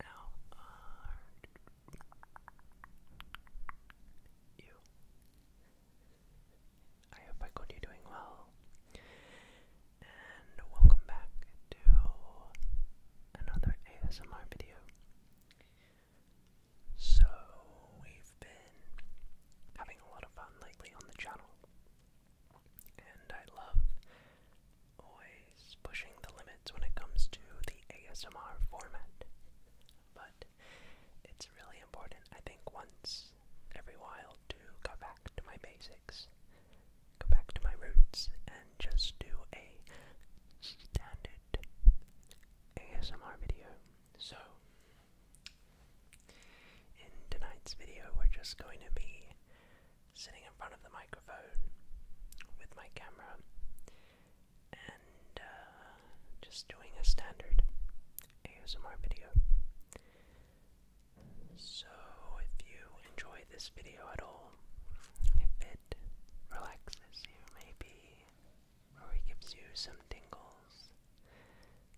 How are you? I hope I got you doing well. And welcome back to another ASMR video. So, we've been having a lot of fun lately on the channel, and I love always pushing the limits when it comes to the ASMR format. But it's really important, I think, once every while to go back to my basics, go back to my roots, and just do a standard ASMR video. So, in tonight's video, we're just going to be sitting in front of the microphone with my camera and uh, just doing a standard ASMR video. So, if you enjoy this video at all, if it relaxes you maybe, or it gives you some tingles,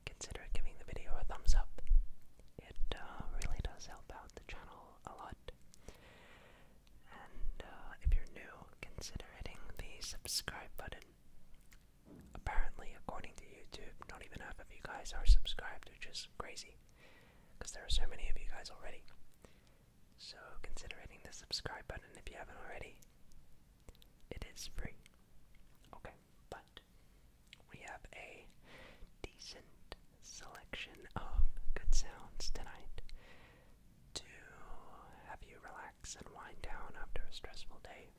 consider giving the video a thumbs up. It uh, really does help out the channel a lot. And uh, if you're new, consider hitting the subscribe button. Apparently, according to YouTube, not even half of you guys are subscribed, which is crazy because there are so many of you guys already. So, consider hitting the subscribe button if you haven't already. It is free. Okay, but we have a decent selection of good sounds tonight to have you relax and wind down after a stressful day.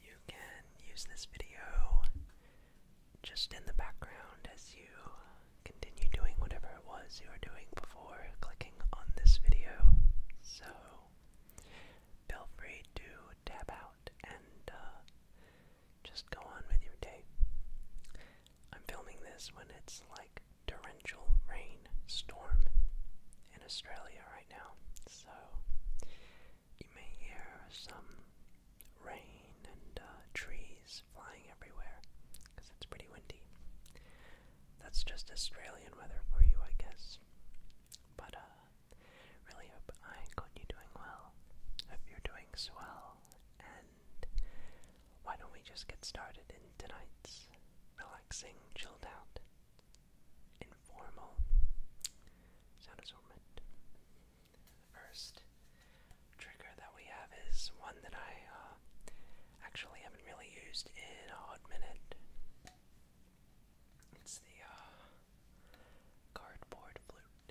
You can use this video just in the background as you continue doing whatever it was you were doing before clicking on this video. So feel free to tab out and uh, just go on with your day. I'm filming this when it's like torrential rain storm in Australia right now, so you may hear some rain and uh, trees flying everywhere because it's pretty windy. That's just Australian weather for you, I guess. But uh, really hope I got you doing well. Hope you're doing swell why don't we just get started in tonight's relaxing, chilled out, informal sound assortment? first trigger that we have is one that I uh, actually haven't really used in a hot minute. It's the uh, cardboard flute.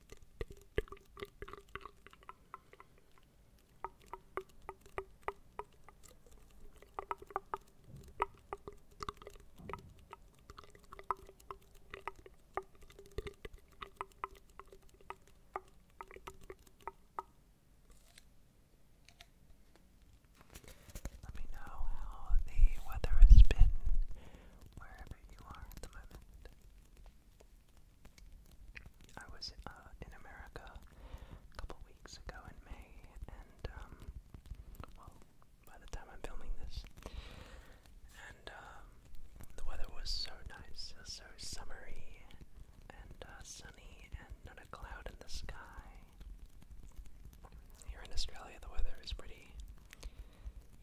Let me know how the weather has been wherever you are I was uh, in America a couple weeks ago in May, and um, well, by the time I'm filming this, and um, the weather was so nice, so summery and uh, sunny, and not a cloud in the sky. Here in Australia, the weather is pretty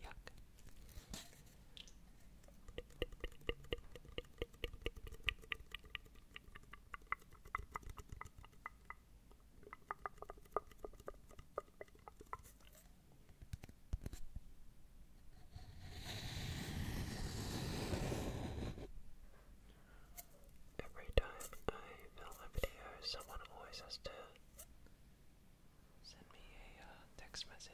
yuck. Every time I film a video, someone always has to send me a uh, text message.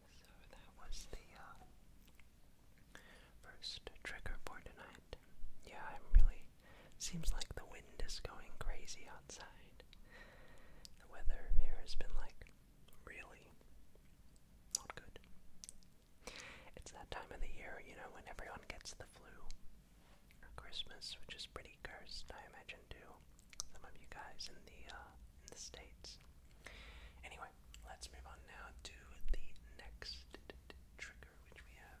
So that was the uh, first trigger for tonight. Yeah, I'm really. Seems like the wind is going crazy outside. The weather here has been like really not good. It's that time of the year, you know, when everyone gets the flu. Christmas, which is pretty cursed, I imagine, too some of you guys in the uh, in the states. Anyway, let's move on now to the next trigger, which we have.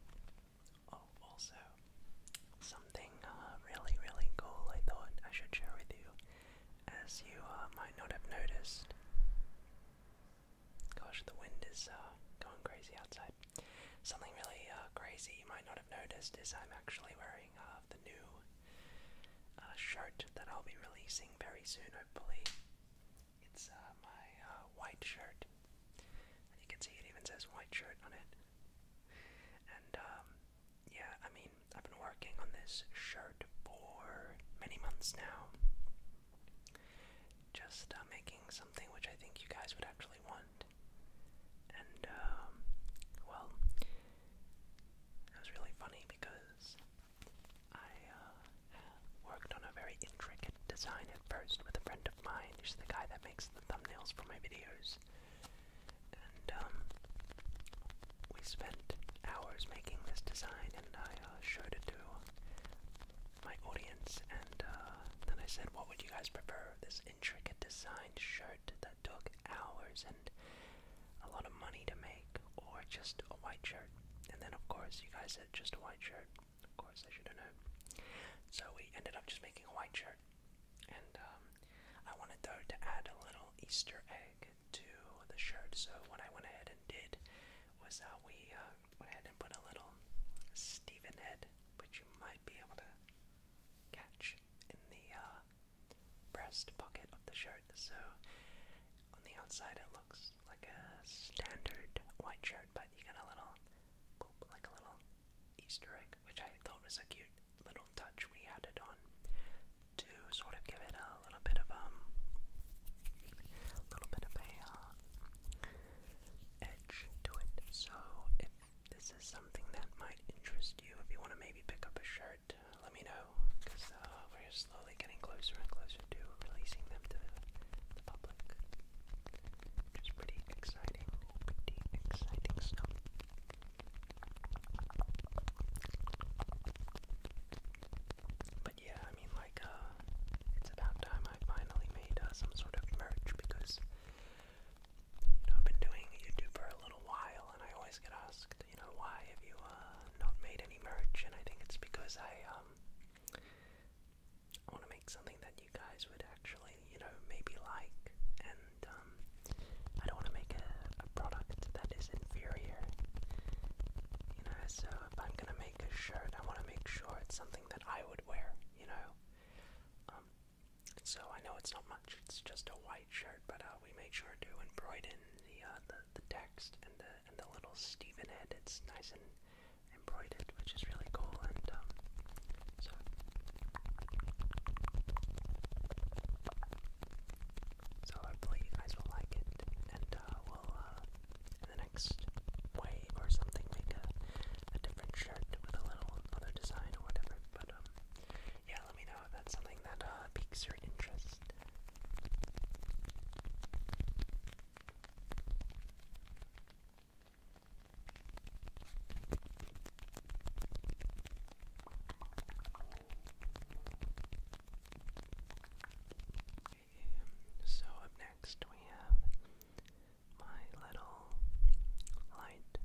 Oh, also, something uh, really, really cool I thought I should share with you, as you uh, might not have noticed. Gosh, the wind is uh, going crazy outside. Something really crazy you might not have noticed is I'm actually wearing uh, the new shirt that I'll be releasing very soon, hopefully. It's uh, my uh, white shirt. And you can see it even says white shirt on it. And um, yeah, I mean, I've been working on this shirt for many months now. Just uh, making something which I think you guys would actually want. And um, well, it was really funny because I uh, Worked on a very intricate design at first with a friend of mine. is the guy that makes the thumbnails for my videos. And, um, we spent hours making this design and I uh, showed it to my audience. And uh, then I said, What would you guys prefer? This intricate design shirt that took hours and a lot of money to make, or just a white shirt? And then, of course, you guys said just a white shirt. Of course, I should have So we ended up just making a white shirt, and um, I wanted though to add a little Easter egg to the shirt. So what I went ahead and did was uh, we uh, went ahead and put a little Stephen head, which you might be able to catch in the uh, breast pocket of the shirt. So on the outside, it looks it's like a standard white shirt, but you got a little, boop, like a little Easter egg, which I thought was a cute little touch we added on to sort of give it a little bit of um, a little bit of a uh, edge to it. So if this is something that might interest you, if you want to maybe pick up a shirt, let me know because uh, we're slowly slowly getting closer and closer to releasing them to the public. Which pretty exciting, pretty exciting stuff. But yeah, I mean, like, uh, it's about time I finally made uh, some sort of merch because, you know, I've been doing YouTube for a little while and I always get asked, you know, why have you, uh, not made any merch? And I think it's because I, um, I want to make something that you guys would actually, you know, maybe like, and um, I don't want to make a, a product that is inferior. You know, so if I'm gonna make a shirt, I want to make sure it's something that I would wear. You know, um, so I know it's not much; it's just a white shirt, but uh, we make sure to embroider in the uh, the the text and the and the little Stephen head. It's nice and embroidered, which is really cool. And um, so so hopefully you guys will like it, and uh, we'll uh, in the next way or something make a, a different shirt with a little other design or whatever. But um, yeah, let me know if that's something that uh, piques your interest. So up next we have my little light.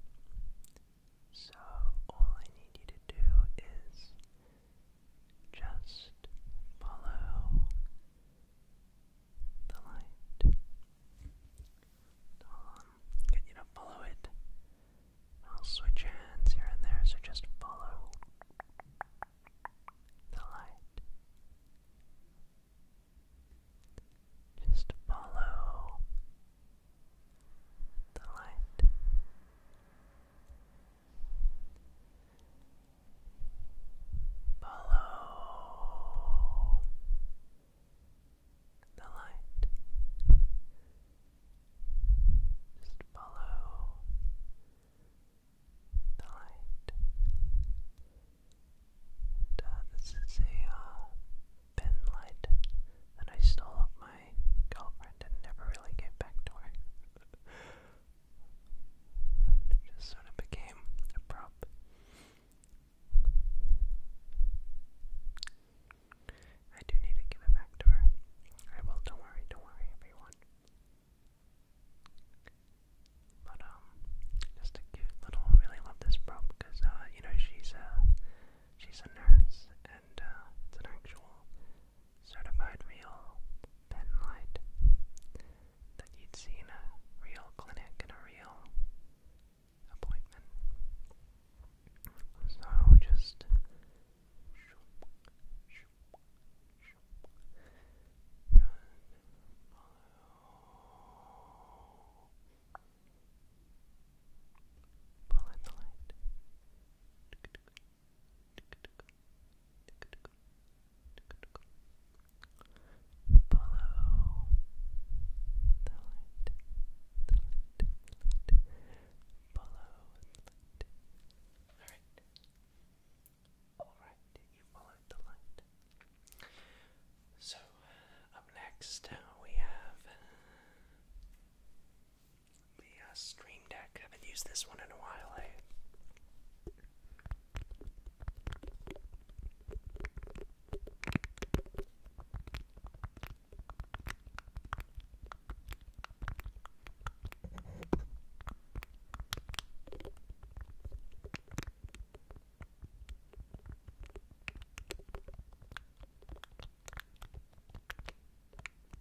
So all I need you to do is just follow the light. i you follow it. I'll switch hands here and there, so just follow the light. Just follow the light. Follow the light. Just uh, the light. this is a pen uh, light that I stole off my girlfriend and never really gave back to her. It just sort of became a prop. I do need to give it back to her. I will, don't worry, don't worry, everyone. But, um, just a cute little, really love this prop, because, uh, you know, she's, uh, she's a nurse, and, uh, it's an actual certified real pen light that you'd see in a real clinic and a real appointment. So just shoop, shoop, shoop, just follow. Pull in the light. Follow the light, the light, the light. Follow the light. Alright. Alright, you followed the light. So, uh, up next uh, we have. Uh, the Stream Deck. I haven't used this one in a while, eh?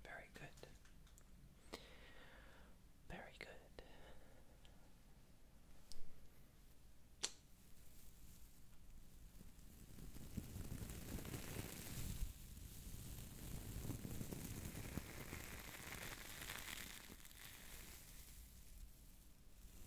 Okay. Very good. Very good.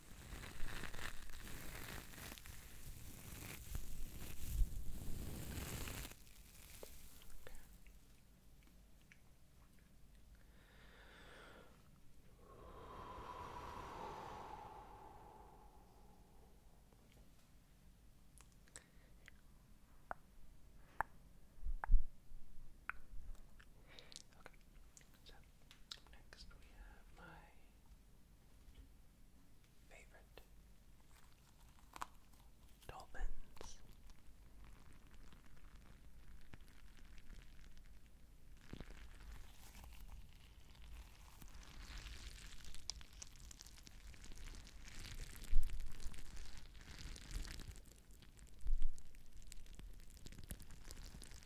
Okay, so next we have my Favorite Dolphins.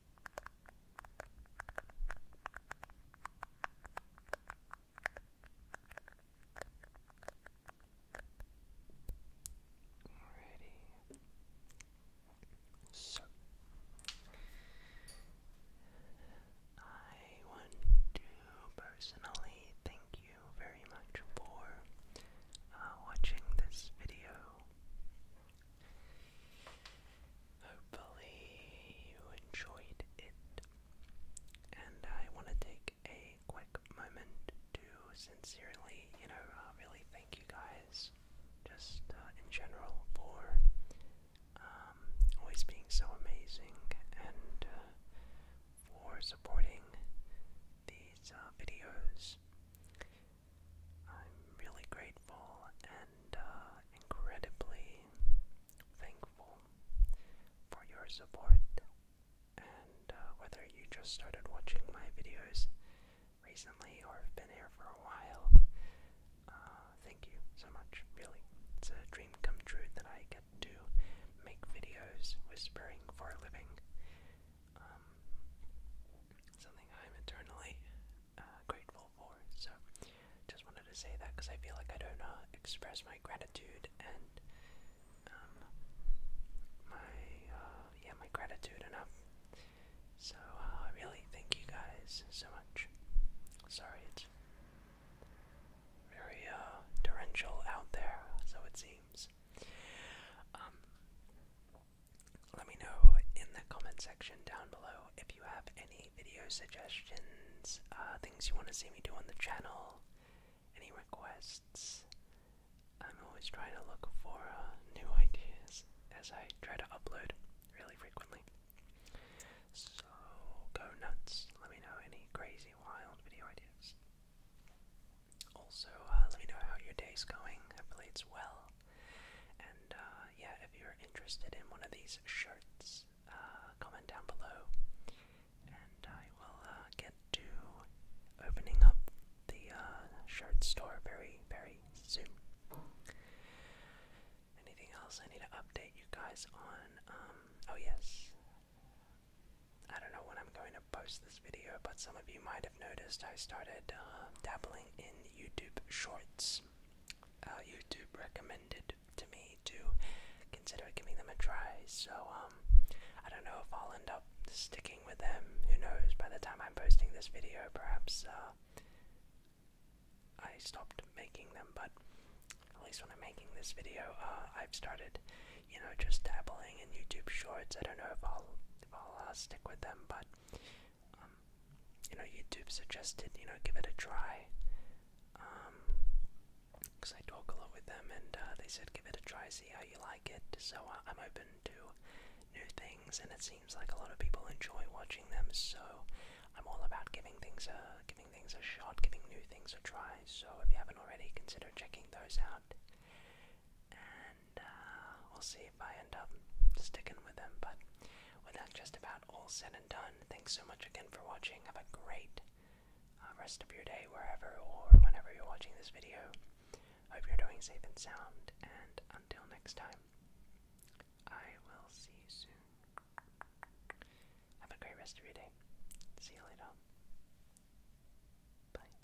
Alrighty. So I want to personally thank you very much for uh, watching this video. Hopefully, you enjoyed it. And I want to take a quick moment to sincerely, you know, uh, really thank you guys, just uh, in general, for um, always being so amazing and uh, for supporting these videos. I'm really grateful and uh, incredibly thankful for your support. And uh, whether you just started watching my videos recently or have been here for a while, uh, thank you so much, really. It's a dream come true that I get to make videos whispering for a living. Um, something I'm eternally uh, grateful for. So, just wanted to say that because I feel like I don't uh, express my gratitude and um, my uh, yeah my gratitude enough. So uh, I really thank you guys so much. Sorry, it's very uh, torrential out there, so it seems. Um, let me know in the comment section down below if you have any video suggestions, uh, things you want to see me do on the channel, any requests. I'm always trying to look for uh, new ideas as I try to upload really frequently. So go nuts. Let me know any crazy, wild video ideas. Also, uh, let me know how your day's going. Hopefully, it's well. And uh, yeah, if you're interested in one of these shirts, uh, comment down below, and I will uh, get to opening up the shirt store very, very soon. Anything else I need to update you guys on? Um, oh yes, I don't know when I'm going to post this video, but some of you might have noticed I started dabbling in YouTube Shorts. Uh, YouTube recommended to me to consider giving them a try. So um, I don't know if I'll end up sticking with them. Who knows? By the time I'm posting this video, perhaps uh, I stopped making them. But at least when I'm making this video, uh, I've started, you know, just dabbling in YouTube Shorts. I don't know if I'll if uh, stick with them, but um, you know, YouTube suggested, you know, give it a try. Because um, I talk a lot with them and uh, they said give it a try, see how you like it. So uh, I'm open to new things and it seems like a lot of people enjoy watching them. So I'm all about giving things a, giving things a shot, giving new things a try. So if you haven't already, consider checking those out and uh, we'll see if I end up sticking with him. But with that just about all said and done, thanks so much again for watching. Have a great uh, rest of your day, wherever or whenever you're watching this video. Hope you're doing safe and sound, and until next time, I will see you soon. Have a great rest of your day. See you later. Bye.